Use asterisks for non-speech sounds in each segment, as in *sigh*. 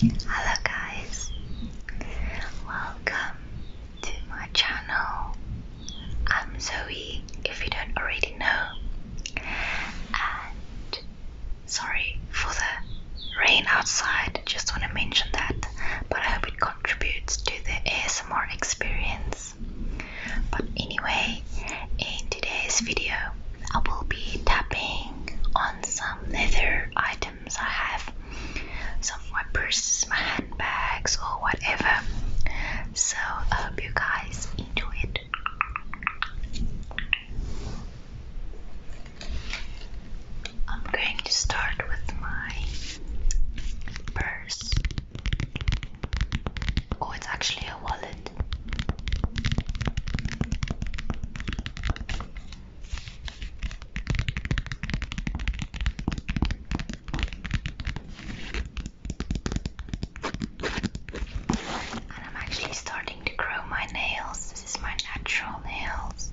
Hello guys, welcome to my channel. I'm Zoe, if you don't already know, and sorry for the rain outside, just want to mention that, but I hope it contributes to the ASMR experience. But anyway, in today's video, I will be tapping on some other items I have, some of my purses, my handbags, or whatever. So I hope you guys enjoy it. I'm going to start with my purse. Oh, it's actually a wallet. And I'm actually starting to grow my nails. This is my natural nails.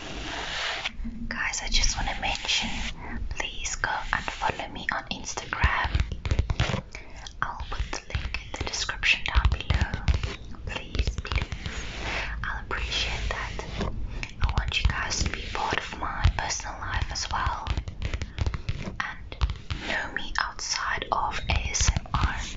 Guys, I just want to mention please go and follow me on Instagram. I'll put the link in the description down below. Please, please. I'll appreciate that. I want you guys to be part of my personal life as well and know me outside of ASMR.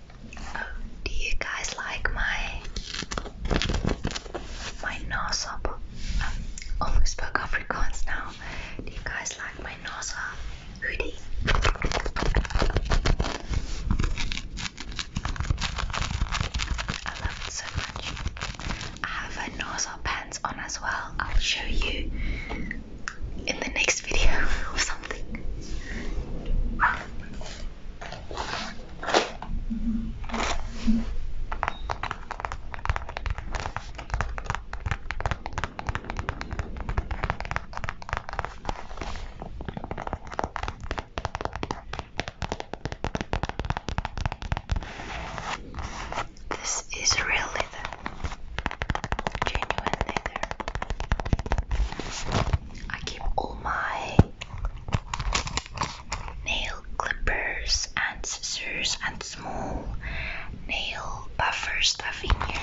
Um, do you guys like my my nose up? Um, almost oh, spoke Afrikaans now. Do you guys like my nose up hoodie? I love it so much. I have a nose up pants on as well. I'll show you in the next *laughs* video or something. This is real leather, genuine leather. I keep all my nail clippers and scissors and small nail buffers stuff in here.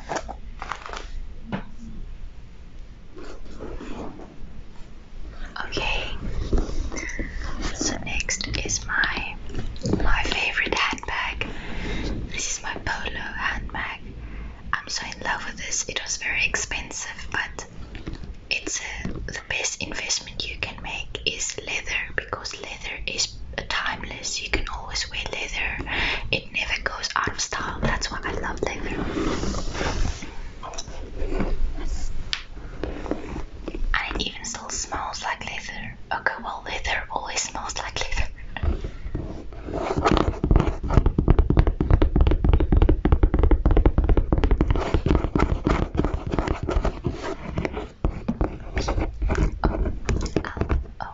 Okay, so next is my my favorite handbag. This is my polo handbag. I'm so in love with this. It was very expensive, but it's uh, the best investment you can make is leather because leather is timeless. You can always wear leather it never goes out of style. That's why I love leather. And even still smells like leather. Okay, well, leather always smells like leather. Oh, oh,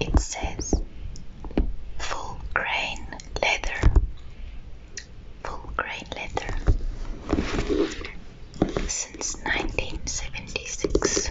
It says full grain leather. Full grain leather since 1976.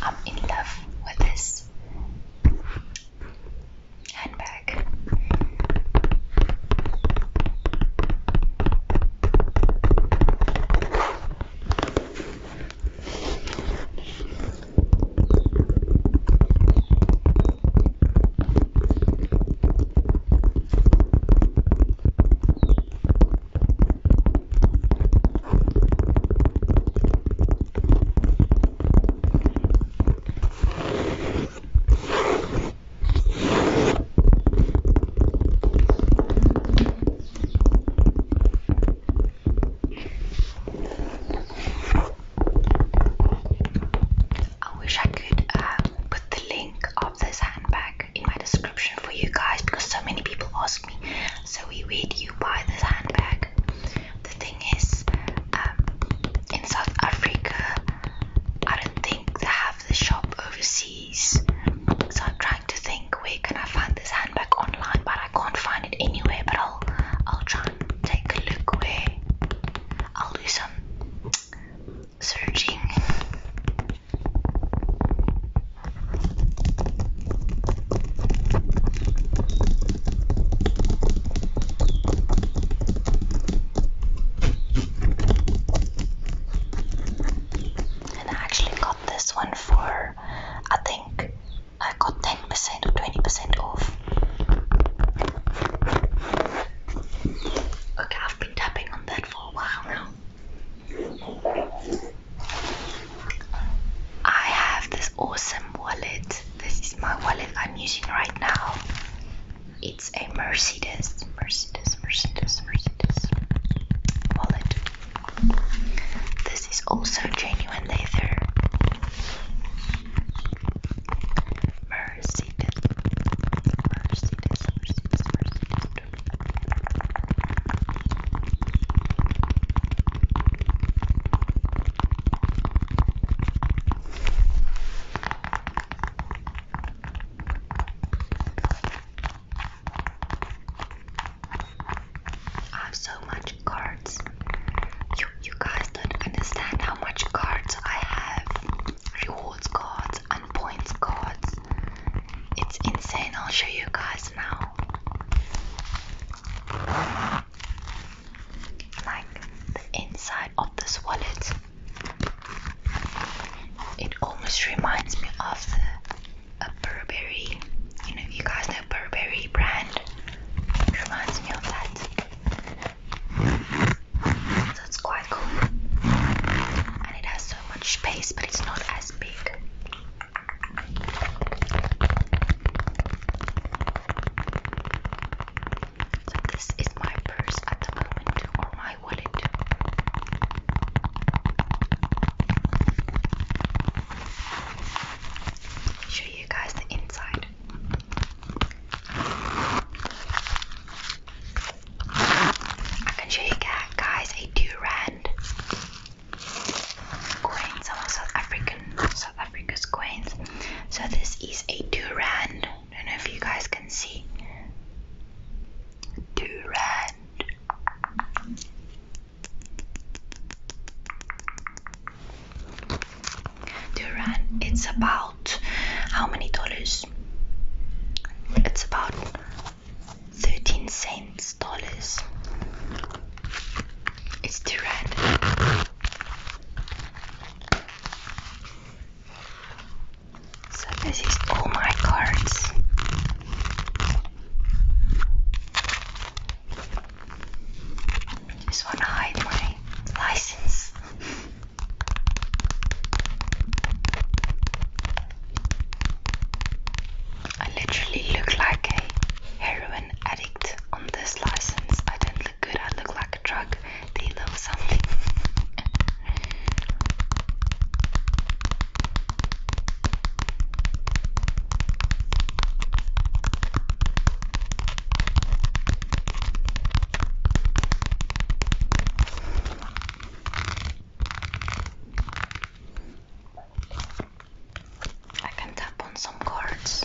I'm in love with this this handbag. I wish I could um, put the link of this handbag in my description for you guys because so many people ask so we wait you buy this handbag. The thing is, um, in South Africa, I don't think they have the shop overseas. So I'm trying to think where can I find this handbag online, but I can't find it anywhere. But I'll I'll try and take a look where I'll do some searching. And I actually got this one for I think I got 10% or 20% off. Okay, I've been tapping on that for a while now. I have this awesome wallet. This is my wallet I'm using right now. It's a Mercedes, Mercedes, Mercedes, Mercedes wallet. This is also genuine leather. Mercedes, Mercedes, Mercedes, Mercedes. I have so much cards. You you guys don't understand how much cards I have. Rewards cards and points cards. It's insane. I'll show you guys now like the inside of this wallet it almost reminds me of the a Burberry you know you guys know Burberry brand it reminds me of that so it's quite cool and it has so much space but it's not as big this is my purse at the moment, or my wallet. Show you guys the inside. I can show you guys a Durand coins, South African, South Africa's coins. So this is a Durand. I don't know if you guys can see. Durand. Durand. It's about how many dollars? It's about 13 cents dollars. It's too red. So this is all my cards. Just wanna hide my license. I literally look like a heroin addict on this license. I don't look good, I look like a drug dealer or something. I can tap on some cards.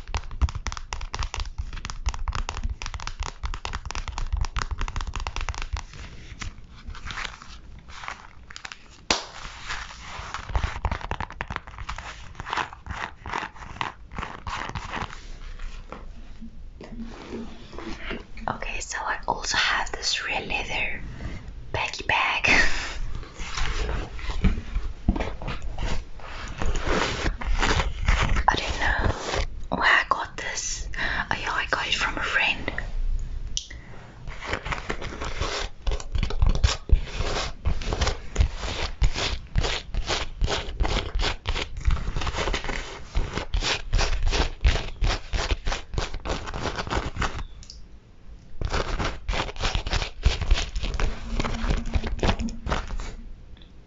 Okay, so I also have this real leather baggy bag. *laughs* I don't know where I got this. Oh yeah, I got it from a friend.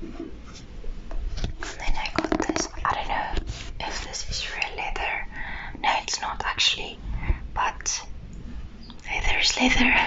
Then I got this. I don't know if this is real leather. No, it's not actually, but leather is leather. *laughs*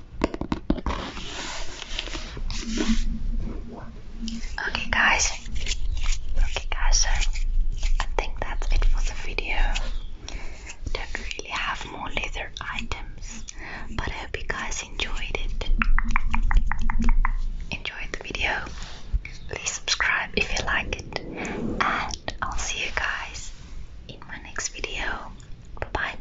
Okay, guys. Okay, guys. So I think that's it for the video. Don't really have more leather items, but I hope you guys enjoyed it. Enjoyed the video. Please subscribe if you like it, and I'll see you guys in my next video. Bye bye.